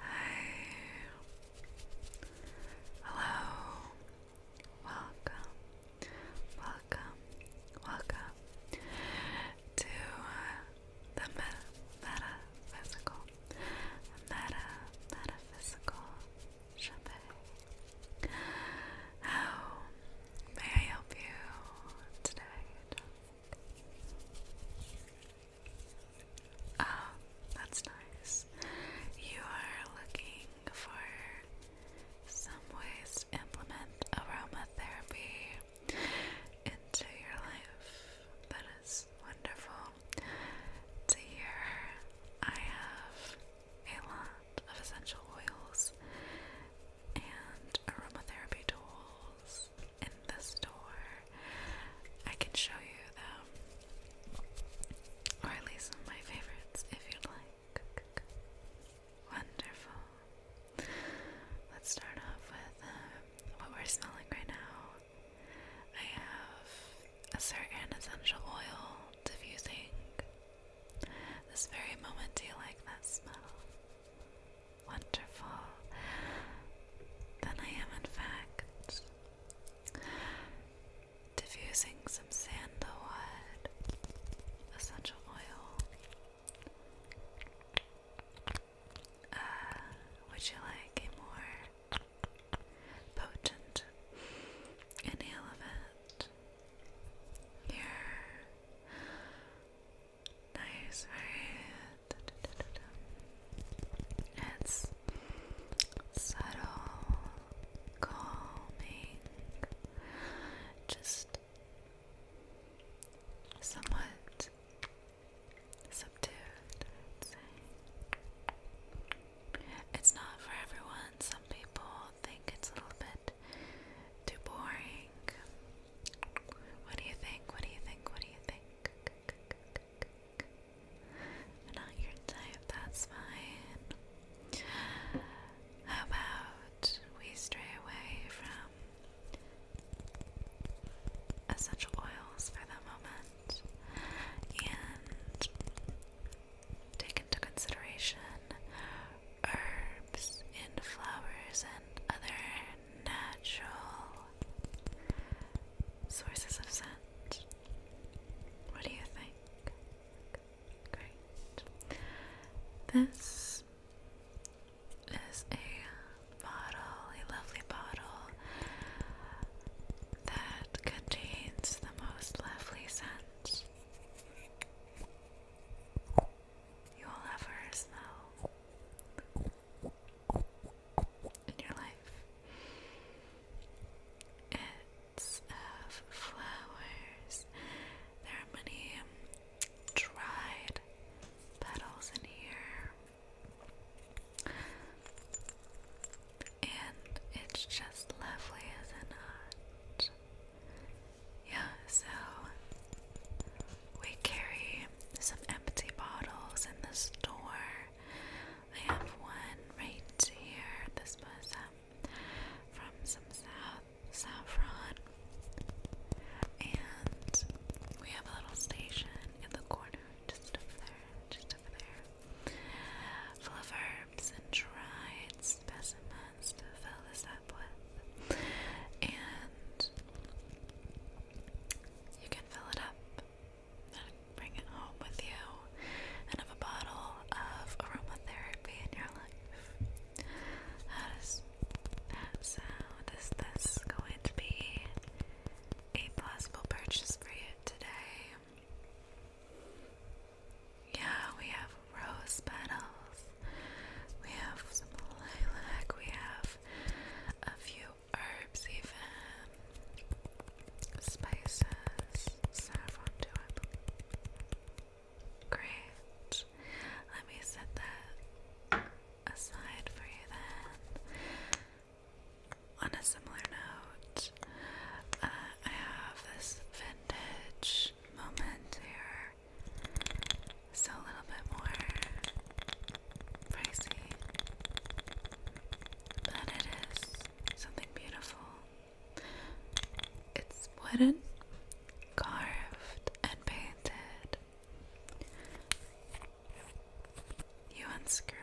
Hi. Hello. Welcome. Welcome. Welcome to uh, the metaphysical metaphysical champagne. How May I help you today? Oh, that's nice. You are looking for some ways to implement aromatherapy into your life. That is wonderful to hear. I have a lot of essential oils and aromatherapy tools in the store. I can show you them, or at least my favorites if you'd like. Wonderful. Let's start off with um, what we're smelling right now. I have a certain essential oil diffusing this very moment, do you like that smell? Wonderful. Then I am, in fact, diffusing some sandalwood essential oil. Uh, would you like a more potent inhale of it? here. Nice, right? It's subtle, calming, just somewhat subdued, It's not for everyone and some people think it's a little bit too boring. What do you think? What do you think? What do you think? Not your type, that's fine. How about we stray away from essential oils for the moment and Take into consideration herbs and flowers and other natural sources of scent. What do you think? Great. This is a bottle, a lovely bottle that contains the most lovely scents you will have smell in your life. It's of uh, flowers. There are many um, dried petals in here. And it's just lovely, as not it? Yeah, so we carry some empty bottles in the store. I have one right here. This was um, from some south saffron. And we have a little station in the corner, just over there, just over there, full of our herbs and dried specimens to fill this up with. And you can fill it up and bring it home with you and have a bottle of aromatherapy in your life. How does that sound? Is this going to be a possible purchase for you today? Yeah, we have rose petals. We have some lilac. We have a few herbs, even spices, saffron too, I believe. Great. Let me set that aside for you then. On a similar note, uh, I have this vintage moment here. So a little bit more pricey, but it is something beautiful. It's wooden, carved, and painted. You unscrew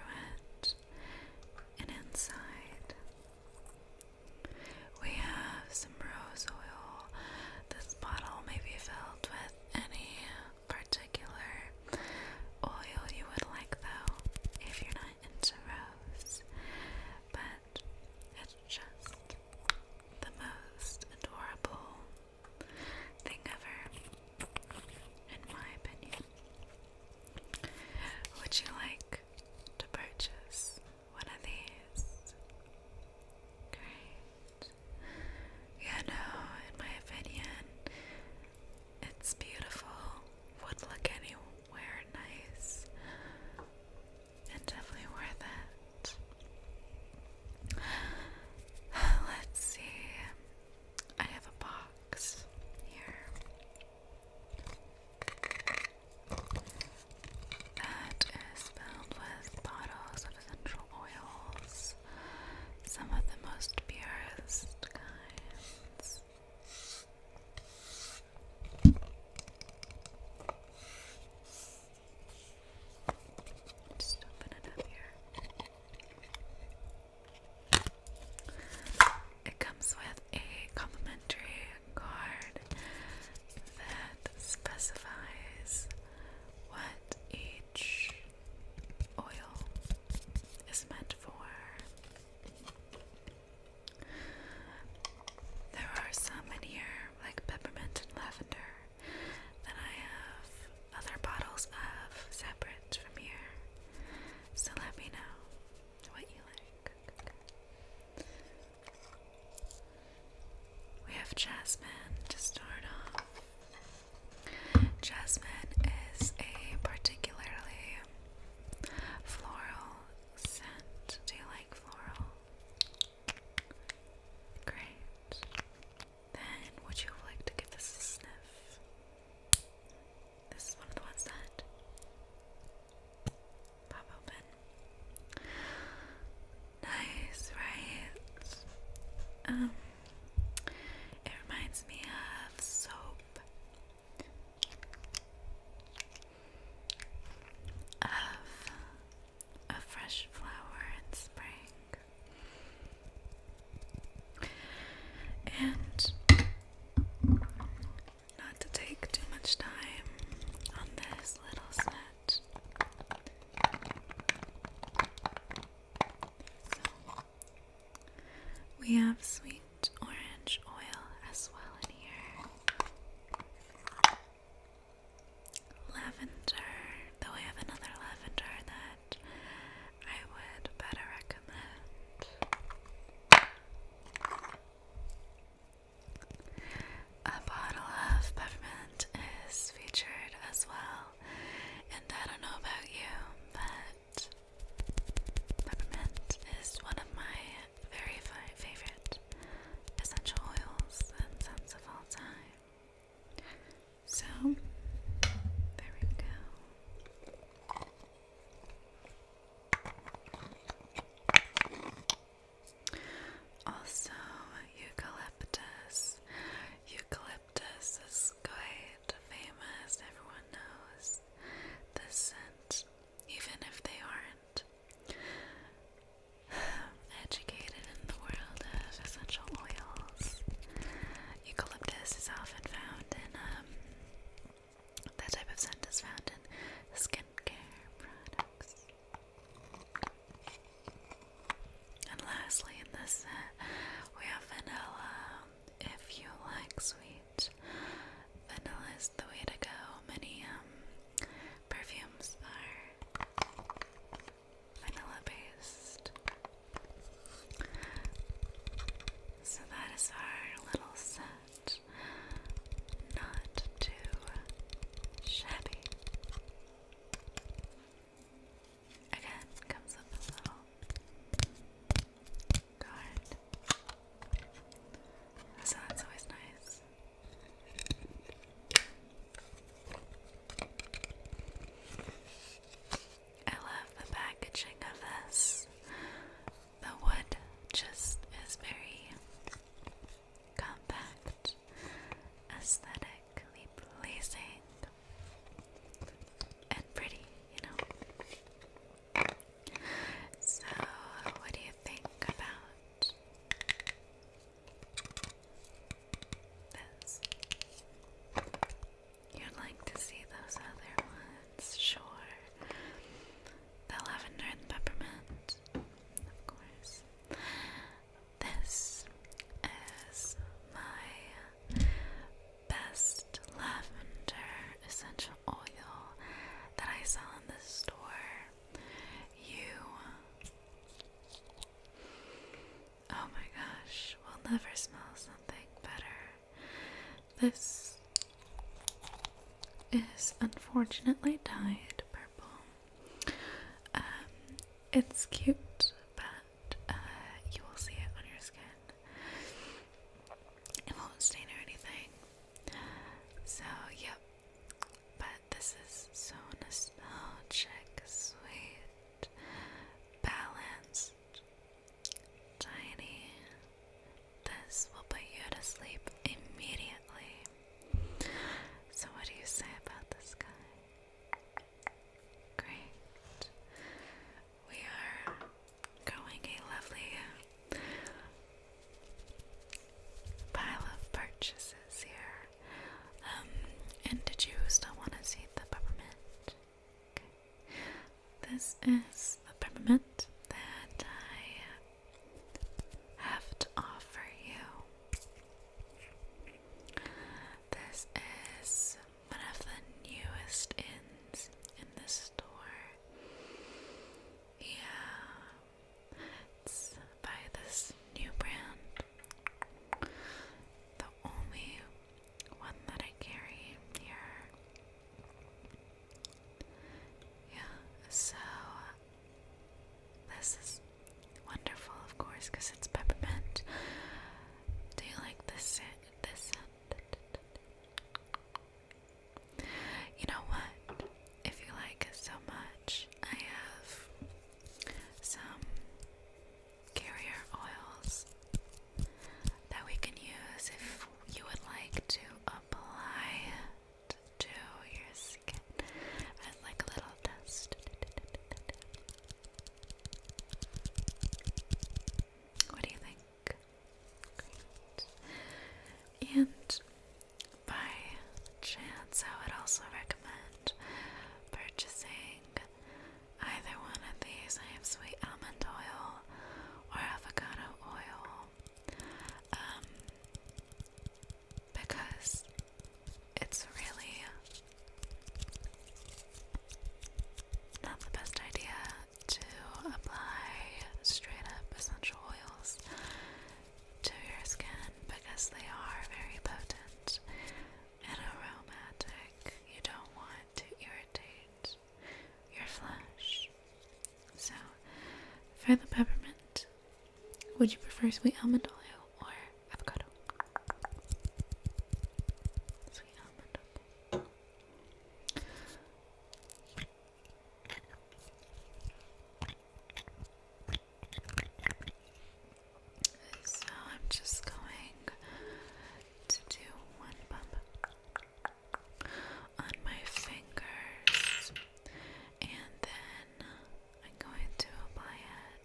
it, and inside we have some rose oil. This bottle may be filled with any particular oil you would like, though, if you're not into rose. But it's just the most adorable thing ever, in my opinion. Would you like to purchase one of these? Great. Yeah, no, in my opinion, it's beautiful, would look anywhere nice, and definitely worth it. Let's see. I have a box here. That is filled with bottles of essential oils, some of the most purest kinds. Just open it up here it comes with a complimentary card that specifies what each oil is meant for. There are some in here, like peppermint and lavender, that I have other bottles of separate from here. So let me know what you like. We have Jasmine to start off. Jasmine is a particularly floral scent. Do you like floral? Great. Then would you like to give this a sniff? This is one of the ones that Pop open. Nice, right? Um, it reminds me of soap. Of a fresh flower in spring, and not to take too much time on this little snatch. we have sweet orange oil as well in here. Lavender, though I have another lavender that I would better recommend. A bottle of peppermint is featured as well, and I don't know about you, but peppermint is one of my very favorite essential oils and scents of all time. So, there we go. Also, eucalyptus. Eucalyptus is quite famous, everyone knows the scent, even if they aren't um, educated in the world of essential oils. Eucalyptus is often found in um, that type of scent is found in skincare products. And lastly, in this set, we have vanilla. If you like sweet, vanilla is the way to go. Many um, perfumes are vanilla based. So that is our little set not too shabby. Again, comes up a little guard. So that's always nice. I love the packaging of this. The wood just is very compact, aesthetically pleasing, and pretty, you know. So, what do you think about this? You'd like to see those other ones, sure the lavender and peppermint, of course. This is my best lavender essential oil that I sell in the store. You, oh my gosh, will never smell something better this is unfortunately dyed purple. Um, it's cute, but uh, you will see it on your skin. It won't stain or anything. So, yep. But this is so nostalgic, sweet, balanced, Tiny, this will put you to sleep immediately. So, what do you say about this guy? Great. We are growing a lovely pile of purchases here. Um, and did you still want to see the peppermint? This is the peppermint that I have to offer you. This is one of the newest inns in this store. Yeah, it's by this new brand. The only one that I carry here. Yeah, so this is wonderful, of course, because it's peppermint. Do you like this scent? This scent? You know what? If you like it so much, I have some carrier oils that we can use if you would like to apply to your skin as like a little test. What do you think? And by chance, I would also recommend purchasing either one of these. I have sweet almond oil or avocado oil um, because it's really not the best idea to apply straight up essential oils to your skin because they are very potent and aromatic. You don't want to irritate your flesh. So, for the peppermint, would you prefer sweet almond oil or avocado? Sweet almond So I'm just going to do one bump on my fingers, and then I'm going to apply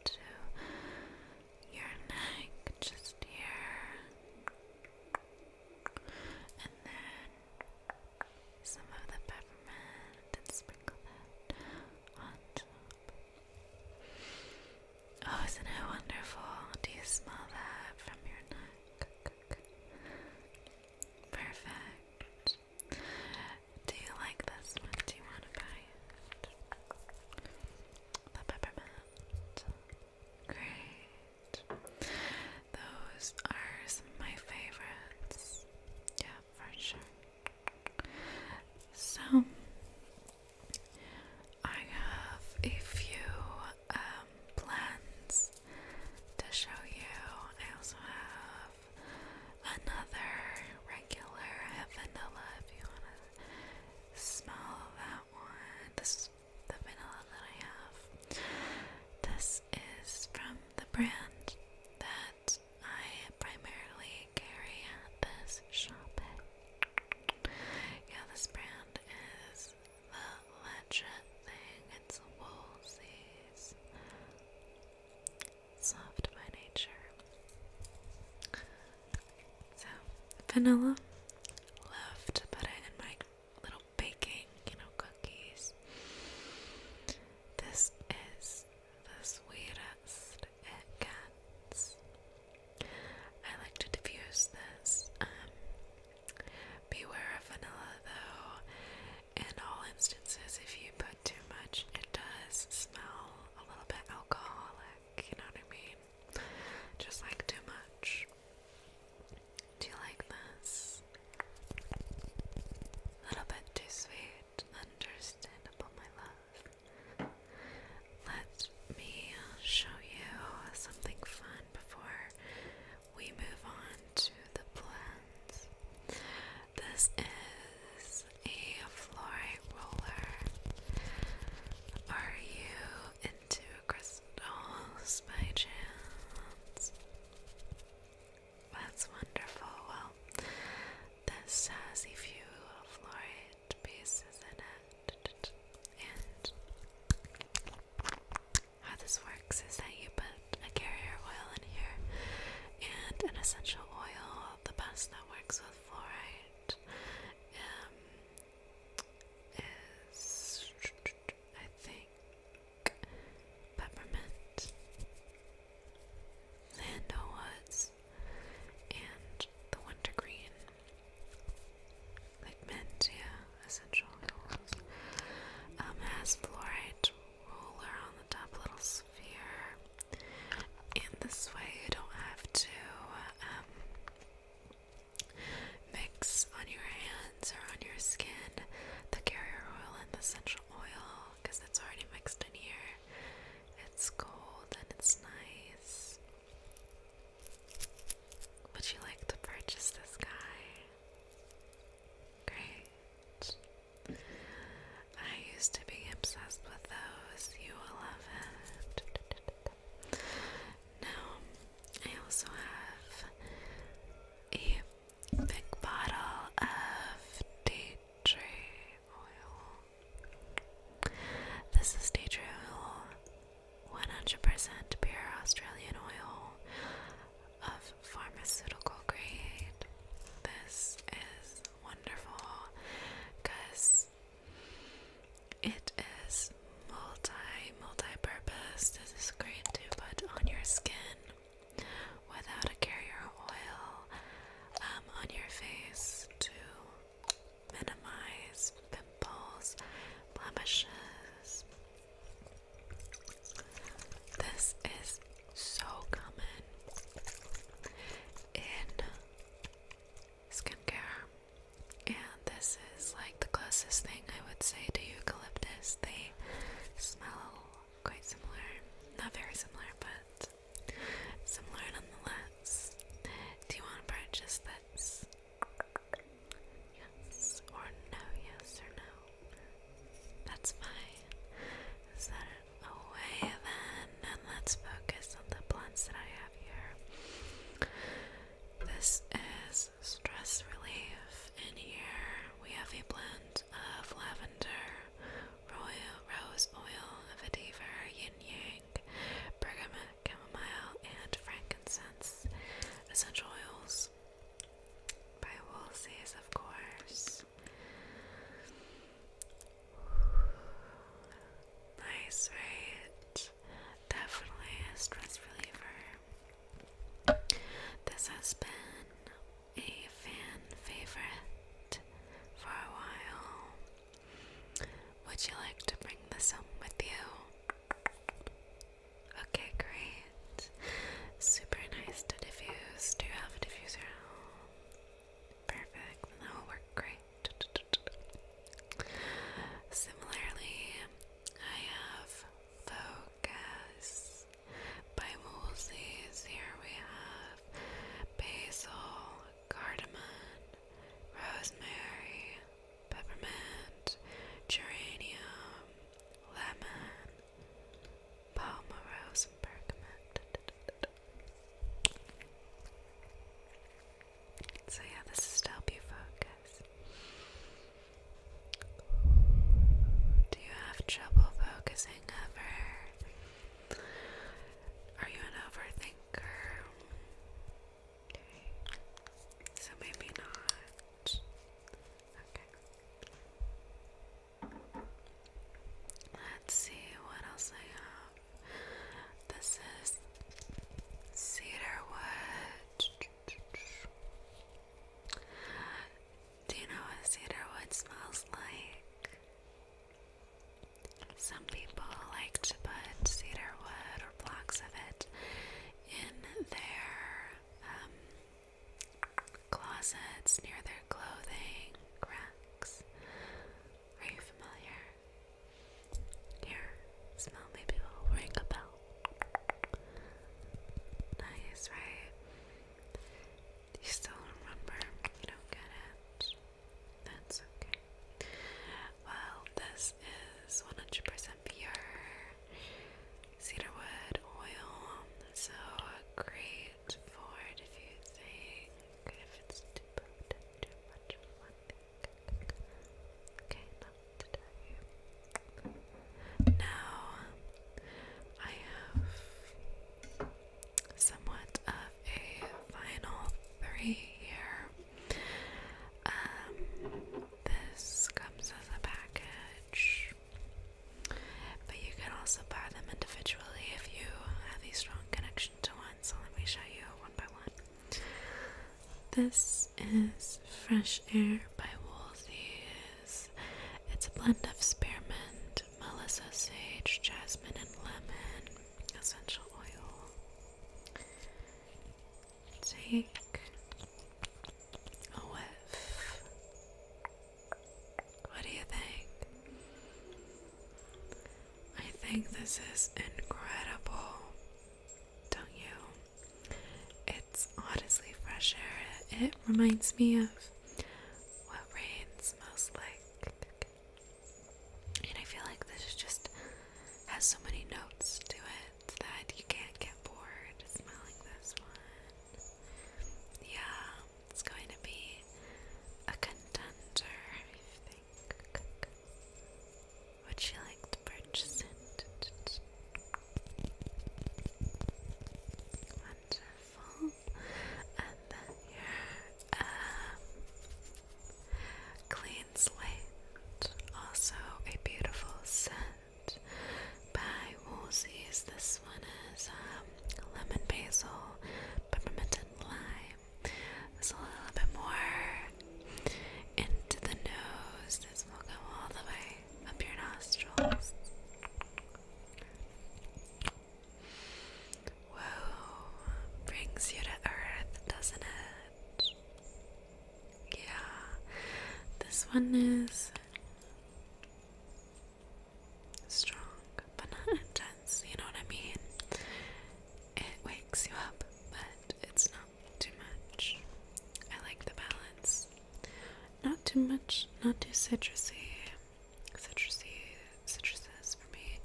it to your neck, just here, and then some of the peppermint and sprinkle that Oh, isn't it wonderful? Do you smell that from your neck? Perfect. Do you like this one? Do you want to buy it? The peppermint. Great. Those are my favorites. Yeah, for sure. So, I have a few um, plans to show you. I also have another regular vanilla if you want to smell that one. This is the vanilla that I have. This is from the brand that I primarily carry at this shop. Yeah, this brand is the legend thing, it's Woolsey's. Soft by nature. So, vanilla. Love to put in my little baking, you know, cookies. This is the sweetest it gets. I like to diffuse this um, Beware of vanilla though. In all instances, if you put too much, it does smell a little bit alcoholic, you know what I mean? Just like too much. Do you like this? A little bit too sweet, understandable, my love. Let me show you something fun before we move on to the blends. This is a fluorite roller. Are you into crystals by chance? That's wonderful. Well, this has a few fluorite pieces in it, how this works is that you put a carrier oil in here and an essential oil, the best that works with fluoride um, is, I think, peppermint, Lando and the wintergreen. Ligmantia essential oils um, has fluorite roller on the top little sphere. And this way you don't have to um, mix on your hands or on your skin the carrier oil and the essential oil because it's already mixed in here. It's cold and it's nice. Would you like to purchase this guy? Great. I used to be obsessed with those. You will love it. Now, I also have a big bottle of tea tree oil. This is tea tree oil 100% pure Australian oil of pharmaceutical grade. This is wonderful because it is multi, multi purpose. This is great to put on your skin without a carrier oil um, on your face too minimize pimples, blemishes. This is so common in skincare, and this is like the closest thing I would say to eucalyptus. They smell quite similar, not very similar, but similar nonetheless. Do you want to purchase this? Yes or no, yes or no. That's fine. Set it away then, and let's focus on the blends that I have here. This is Stress Relief, and here we have a blend of lavender, royal rose oil, vetiver, yin yang garlic, bergamot, chamomile, and frankincense. Essential oils by Woolsey's, of course. Nice, right? Definitely a stress reliever. This has been a fan favorite for a while. Would you like to bring this home with you? Okay, great. Super nice to diffuse. Do you have a diffuser Perfect. That will work great. Similarly, I have Focus by Woolsey's. Here we have basil, cardamom, rosemary, peppermint, geranium, lemon, palmarose, and So, yeah, this is to help you focus. Do you have trouble focusing ever? Are you an overthinker? So maybe not. Okay. Let's see what else I have. This is cedarwood. Do you know what cedarwood smells like? Some people like to put cedarwood blocks of it in their um, closets, near their clothing, cracks. Are you familiar? Here, smell maybe will ring a bell. Nice, right? You still don't You don't get it? That's okay. Well, this is 100% pure cedarwood oil, so great for diffusing if it's too potent, too much of one thing. Okay, not to tell Now, I have somewhat of a final three here. Um, this comes as a package, but you can also buy them individually if you have a strong connection to one. So let me show you one by one. This is Fresh Air by Woolsey's. It's a blend of spearmint, melissa sage, jasmine, and lemon essential oil. Take a whiff. What do you think? I think this is incredible, don't you? It's honestly fresh air. It reminds me of what rain smells like. And I feel like this just has so many notes to it that you can't get bored smelling this one. Yeah, it's going to be a contender, Would you like to purchase it? Wonderful. And then your um, clean Queensland. Also a beautiful scent by Woolsey's. This one is um, lemon basil, peppermint lime. It's a little bit more into the nose. This will go all the way up your nostrils. Whoa, brings you to earth, doesn't it? Yeah, this one is strong but not intense, you know what I mean? It wakes you up, but it's not too much. I like the balance. Not too much, not too citrusy. Citrusy, citruses for me.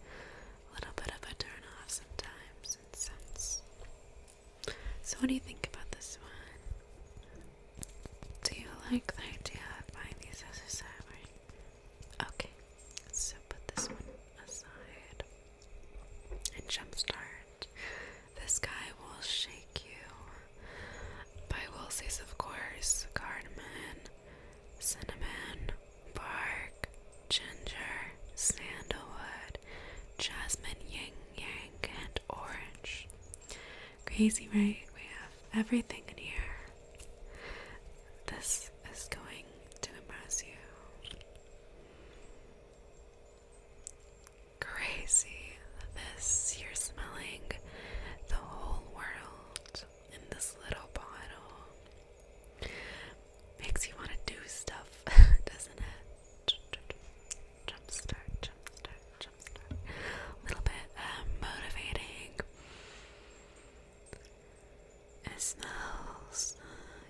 A little bit of a turn off sometimes. So, what do you think about this one? Do you like the idea of buying these as a salary? Okay, so put this one aside and jumpstart. This guy will shake you. By Wilsey's, of course, cardamom, cinnamon, bark, ginger, sandalwood, jasmine, ying yang, and orange. Crazy, right? We have everything in here. This is going to impress you. Crazy. This, you're smelling the whole world in this little bottle. Makes you want to do stuff, doesn't it? Jump start, jump start, jump start. A little bit um, motivating. It smells.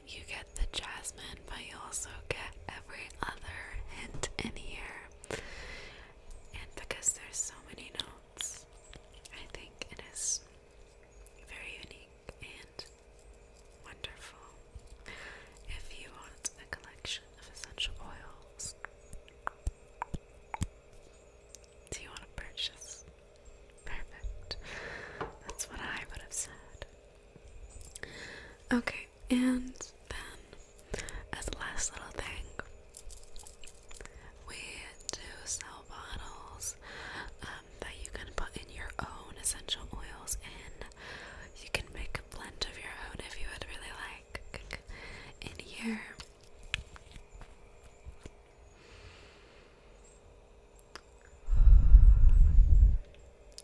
You get the jasmine, but you also get every other hint in here. And because there's so many notes, I think it is very unique and wonderful. If you want a collection of essential oils, do you want to purchase? Perfect. That's what I would have said. Okay, and then as a last little thing, we do sell bottles. Uh, that you can put in your own essential oils in. You can make a blend of your own if you would really like in here.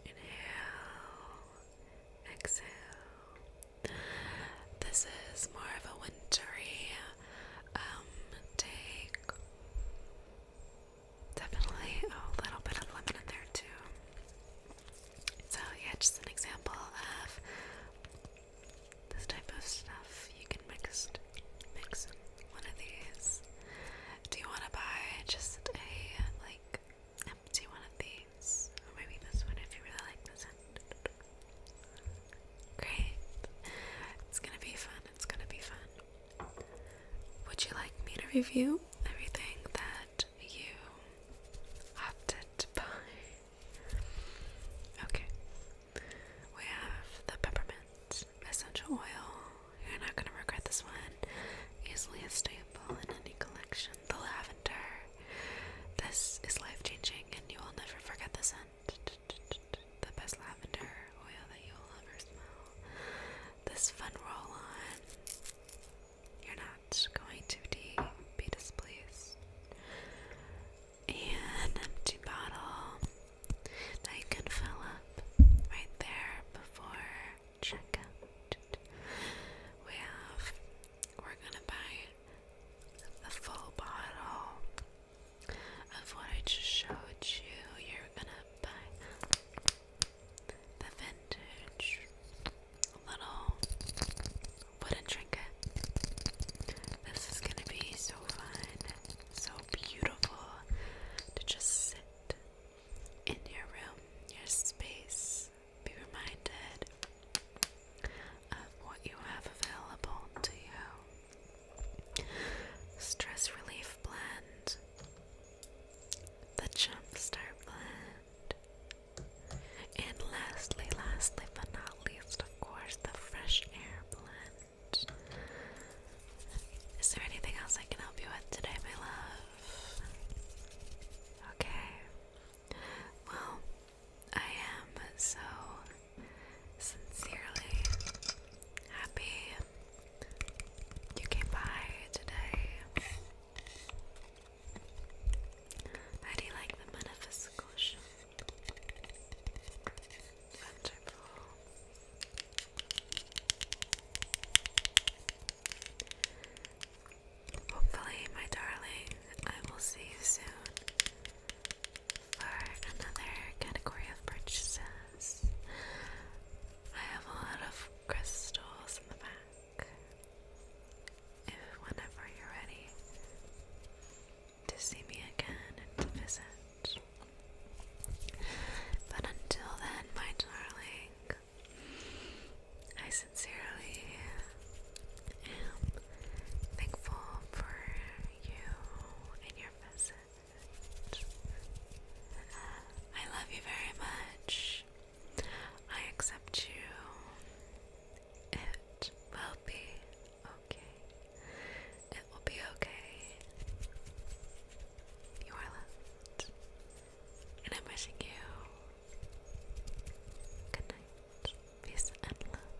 Inhale, exhale. This is more of a wintry um, take. Definitely a little bit of lemon in there too. So yeah, just an example of this type of stuff you can mix mix one of these. Do you want to buy just a like empty one of these, or maybe this one if you really like this Great, it's gonna be fun. It's gonna be fun. Would you like me to review everything that you opted to buy? Okay. We have the peppermint essential oil. You're not gonna regret this one. Easily a staple in any collection. The lavender. This is life changing, and you will never forget the scent the best lavender oil that you'll ever smell. This fun roll on, you're not going to be displeased. An empty bottle that you can fill up right there before checkout. We have, we're gonna buy the full bottle of what I just showed you, you're gonna buy the vintage little wooden trinket. This is gonna be so fun, so beautiful to just sit in your room, your space, be reminded of what you have available to you. Stress Relief Blend, the jump start Blend, and lastly, lastly but not least, of course, the Fresh Air Blend. Is there anything else I can help you with today, my love? Okay. Well, I am so Sincerely happy you came by today. How do you like the metaphysical show? Wonderful. Hopefully, my darling, I will see you soon for another category of purchases. I have a lot of crystals in the back. If whenever you're ready to see me again and to visit. But until then, my darling, I sincerely am thankful for you and your visit. I love you very much. I accept you. It will be okay. It will be okay. You are loved. And I'm wishing you good night, peace, and love.